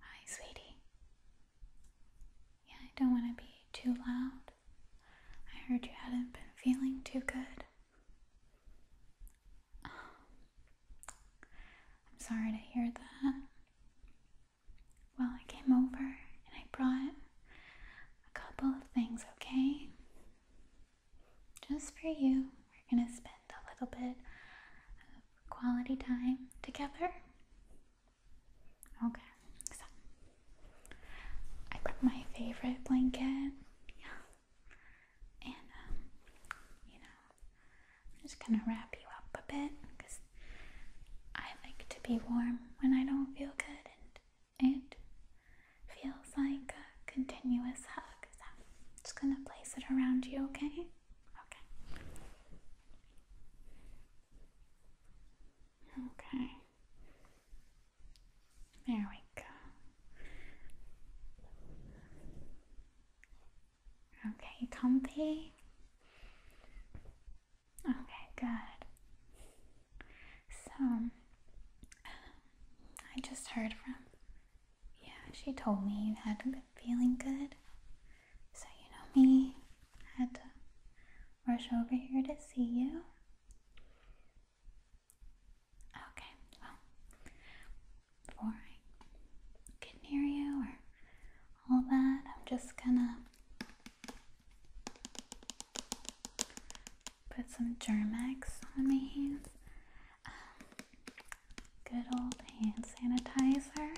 Hi, sweetie. Yeah, I don't want to be too loud. I heard you hadn't been feeling too good. I'm sorry to hear that. Well, I came over and I brought a couple of things, okay? Just for you, we're gonna spend a little bit quality time together. Okay, so I got my favorite blanket. Yeah. And, um, you know, I'm just gonna wrap you up a bit because I like to be warm when I don't feel good, and it feels like a continuous hug. So I'm just gonna place it around you, okay? Okay. Okay. There we go. Okay, comfy. Okay, good. So, I just heard from yeah, she told me you hadn't been feeling good. So, you know me, I had to rush over here to see you. Okay, well, before I get near you or all that, I'm just gonna put some Germex on my hands good old hand sanitizer.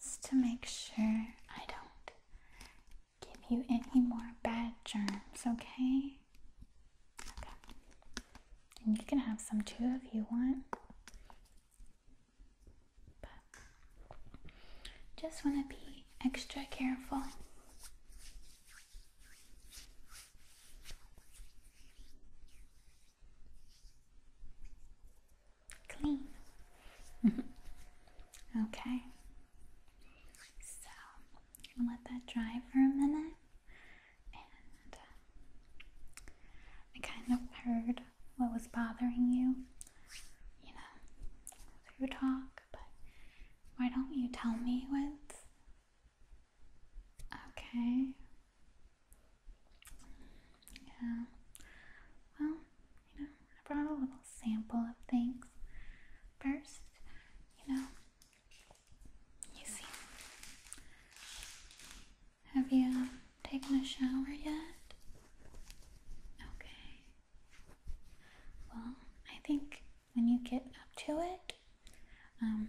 Just to make sure I don't give you any more bad germs, okay? Okay. And you can have some too if you want. But just want to be extra careful. Clean. okay. So, let that dry for a minute. Uh, I kind of heard what was bothering you, you know, through talk, but why don't you tell me what? Okay. Yeah. Well, you know, I brought a little sample of things. First, you know, you see. Have you taken a shower yet? Okay. Well, I think when you get up to it, um,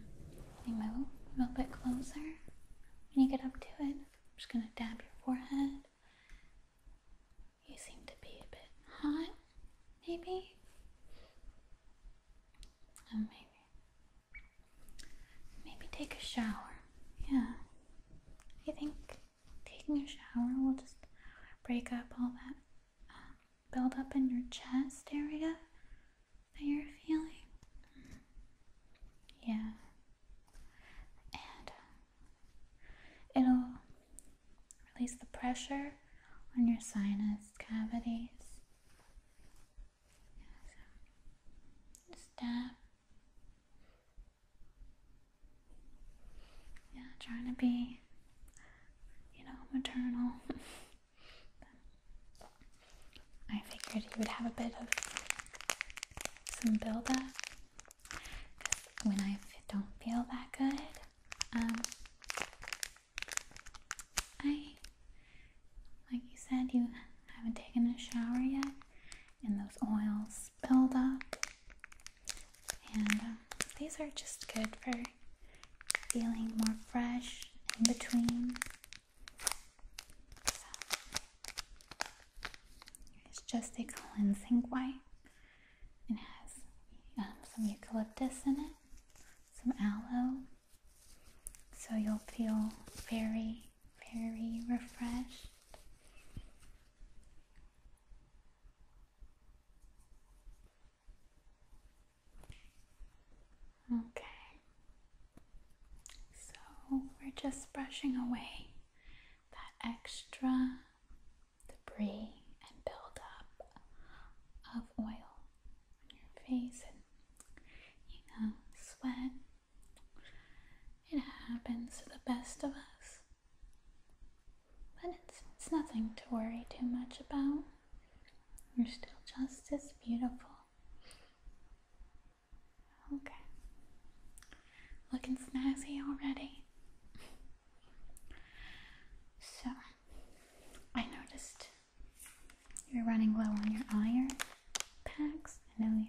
let me move a little bit closer. When you get up to it, I'm just gonna dab your forehead. You seem to be a bit hot, maybe. Oh, maybe. Maybe take a shower. Yeah. you think taking a shower will just break up all that um, buildup in your chest area that you're feeling. Yeah. And uh, it'll release the pressure on your sinus cavities. Yeah, yeah, trying to be, you know, maternal. I figured you would have a bit of some build up. When I don't feel that good, um, I, like you said, you haven't taken a shower yet, and those oils build up and um, these are just good for feeling more fresh in between. it's just a cleansing wipe. It has um, some eucalyptus in it, some aloe, so you'll feel very, very refreshed Okay, so we're just brushing away that extra debris and buildup of oil on your face and you know, sweat. It happens to the best of us. But it's, it's nothing to worry too much about. You're still just as beautiful. Okay. Looking snazzy already. So, I noticed you're running low on your iron packs. I know you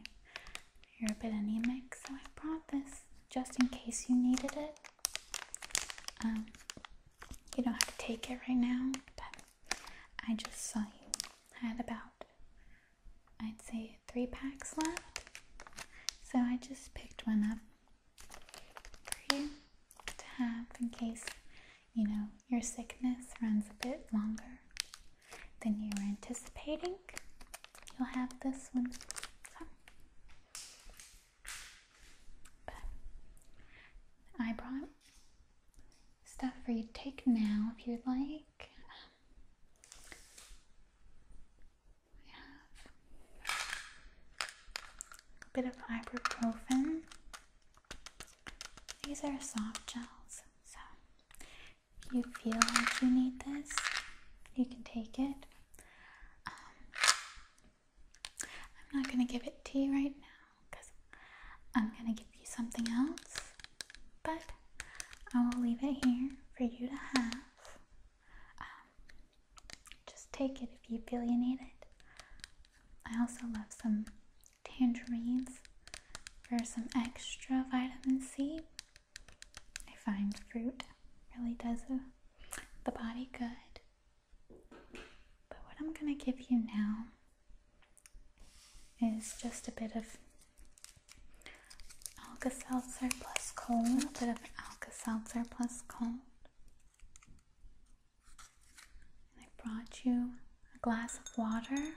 you're a bit anemic, so I brought this just in case you needed it. Um, you don't have to take it right now, but I just saw you had about, I'd say, three packs left. So I just picked one up for you to have in case, you know, your sickness runs a bit longer than you were anticipating, you'll have this one. but I brought stuff for you to take now if you'd like. We have a bit of ibuprofen. These are soft gels, so you feel like you need this, you can take it. Um, I'm not going to give it to you right now because I'm going to give you something else, but I will leave it here for you to have. Um, just take it if you feel you need it. I also love some tangerines for some extra vitamin C. I find fruit really does uh, the body good. But what I'm going to give you now is just a bit of Alka Seltzer plus cold, a bit of Alka Seltzer plus cold. And I brought you a glass of water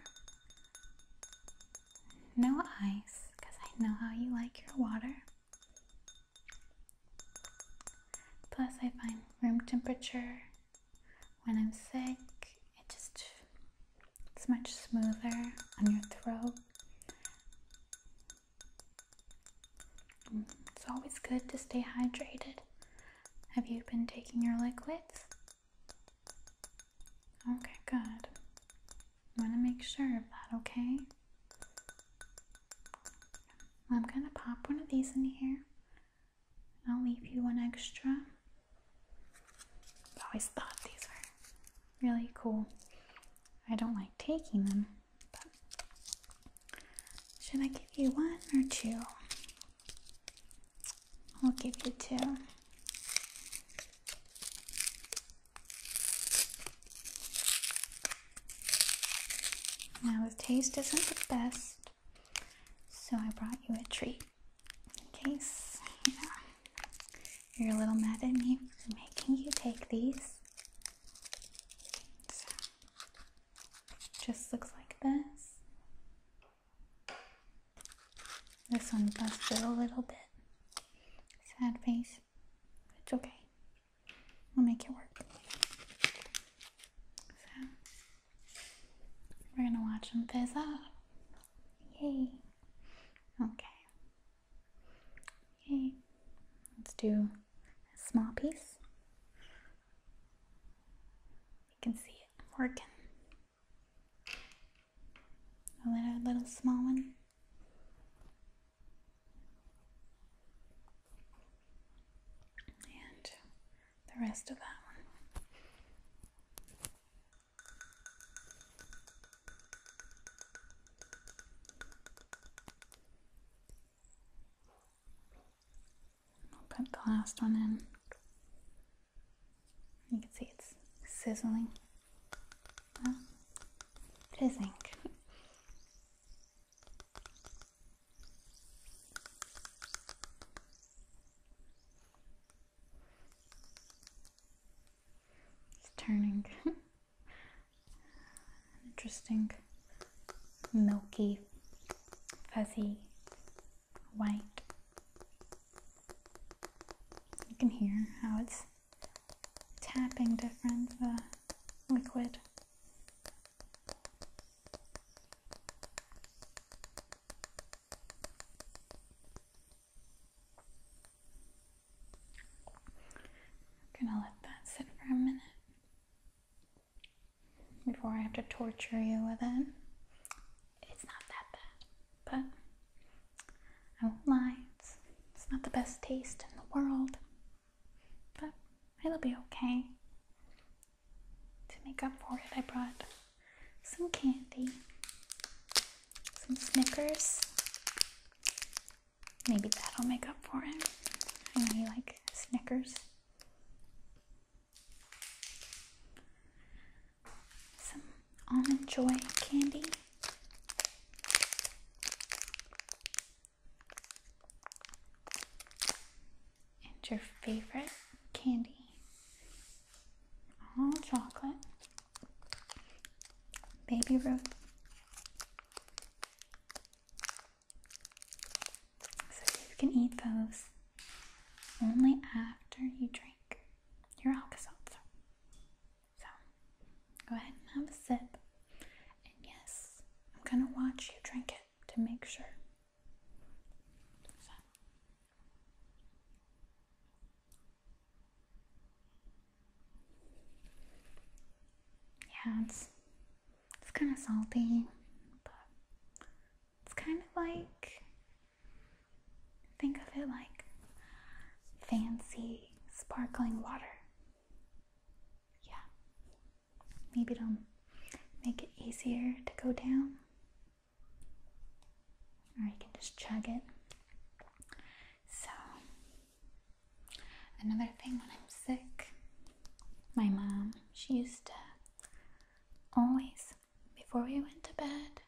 no ice, because I know how you like your water. Plus, I find room temperature when I'm sick, it just it's much smoother on your throat. Mm, it's always good to stay hydrated. Have you been taking your liquids? Okay, good. I want to make sure of that, okay? I'm going to pop one of these in here. I'll leave you one extra. I always thought these were really cool. I don't like taking them, but should I give you one or two? I'll give you two. Now, the taste isn't the best, so I brought you a treat in case you are a little mad at me for making you take these. just looks like this. This one busted a little bit. Sad face. It's okay. We'll make it work. So, we're gonna watch them fizz up. Yay. Okay. Yay. Let's do a small piece. You can see it working. A little, little small one. And the rest of that one. I'll put the last one in. You can see it's sizzling. fizzing. It's turning. Interesting, milky, fuzzy white. You can hear how it's tapping different, the liquid. I'm gonna let that sit for a minute before I have to torture you with it. It's not that bad but I won't lie, it's, not the best taste in the world, but it'll be okay. To make up for it, I brought some candy, some Snickers. Maybe that'll make up for it. I really like Snickers. Some almond joy candy. And your favorite candy. All chocolate. Baby root. So you can eat those only after you drink your Alka Seltzer. So go ahead and have a sip. And yes, I'm gonna watch you drink it to make sure. Yeah, it's it's kind of salty, but it's kind of like Think of it like fancy sparkling water. Yeah. Maybe it'll make it easier to go down. Or you can just chug it. So, another thing when I'm sick, my mom, she used to always before we went to bed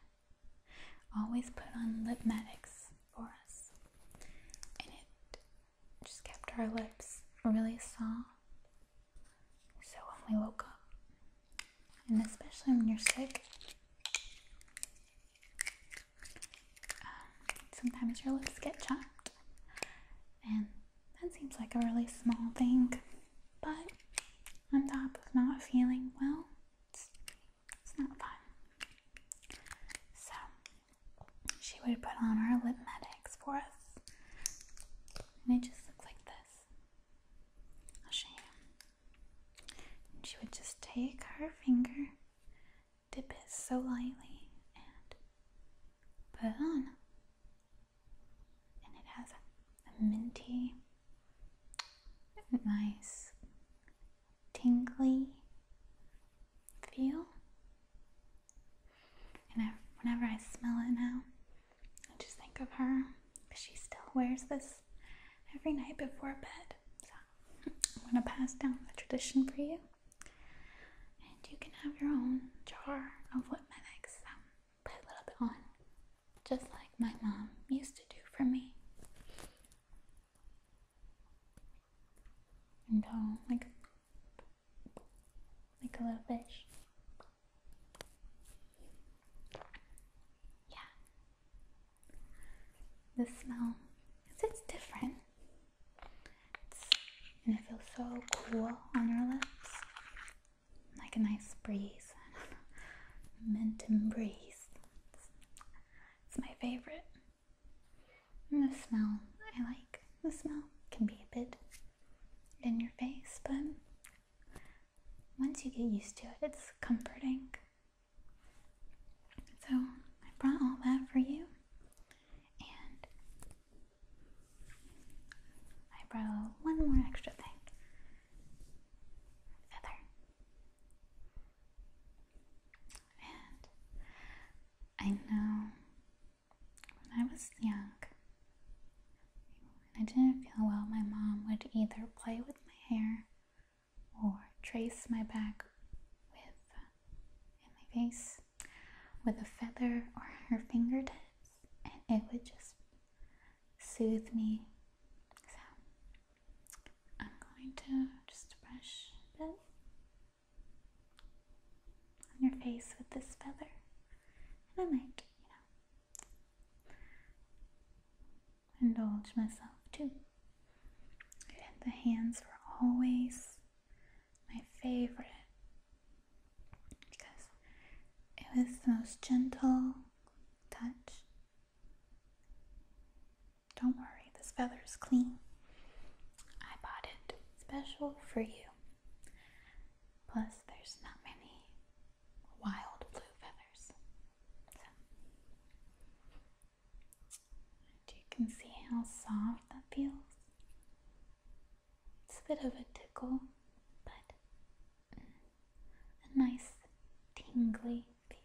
always put on lip medics for us, and it just kept our lips really soft. So when we woke up, and especially when you're sick, um, sometimes your lips get chapped, and that seems like a really small thing, but on top of not feeling well, it's, it's not fun. So she would put on her lip medics for us, and it just looks like this. I'll show you. she would just take her finger, dip it so lightly, and put on and it has a, minty, nice, tingly feel. And whenever I smell it now, I just think of her she still wears this every night before bed. So I'm going to pass down the tradition for you. And you can have your own jar of what medics. So um, put a little bit on, just like my mom used to do for me. And go um, like, like a little bit. Yeah. The smell, it's different. and it feels so cool on your lips like a nice breeze. Mentum breeze. It's, my favorite. And the smell I like. The smell can be a bit in your face, but once you get used to it, it's comforting. So I brought all that for you, and I brought one more extra thing. Feather. And I know when I was young, when I didn't feel well, my mom would either play with my hair or trace my back with in my face with a feather or her fingertips, and it would just soothe me. So I'm going to just brush it on your face with this feather, and I might, you know, indulge myself too. And the hands were always my favorite because it was the most gentle touch. Don't worry, this feather is clean. I bought it special for you. Plus, there's not many wild blue feathers. So, you can see how soft that feels. It's a bit of a tickle, but mm, a nice tingly feel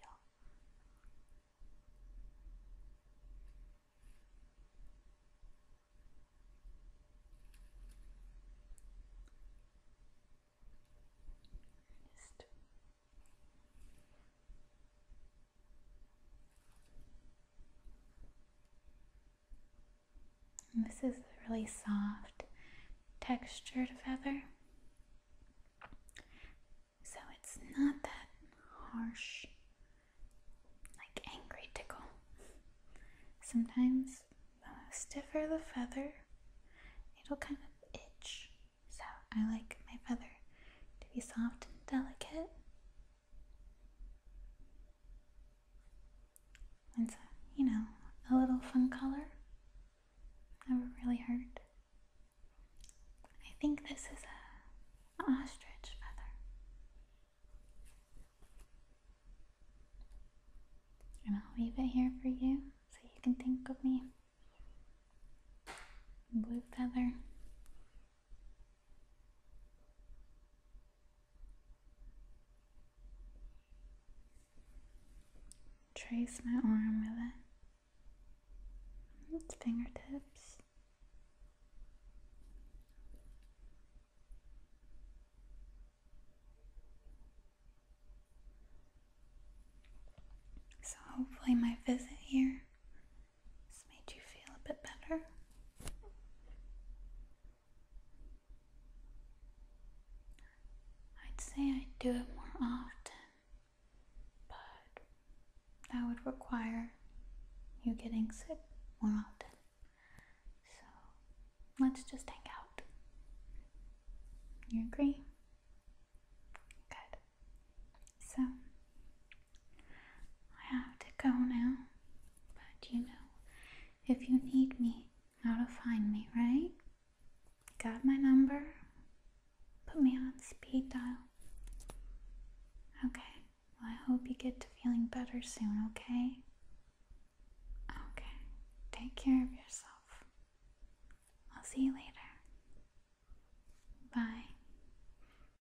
this is a really soft textured feather. So it's not that harsh, like angry tickle. Sometimes the stiffer the feather, it'll kind of itch. So I like my feather to be soft and delicate it's a, you know, a little fun color. Never really hurt. I think this is a ostrich feather. And I'll leave it here for you so you can think of me. Blue feather. Trace my arm with it. Its fingertips. So hopefully my visit here this made you feel a bit better. I'd say I'd do it more often, but that would require you getting sick more often. So let's just hang out. You agree? Good. So I have to go now, but you know, if you need me, how to find me, right? Got my number? Put me on speed dial. Okay, well, I hope you get to feeling better soon, okay? Okay, take care of yourself. I'll see you later. Bye.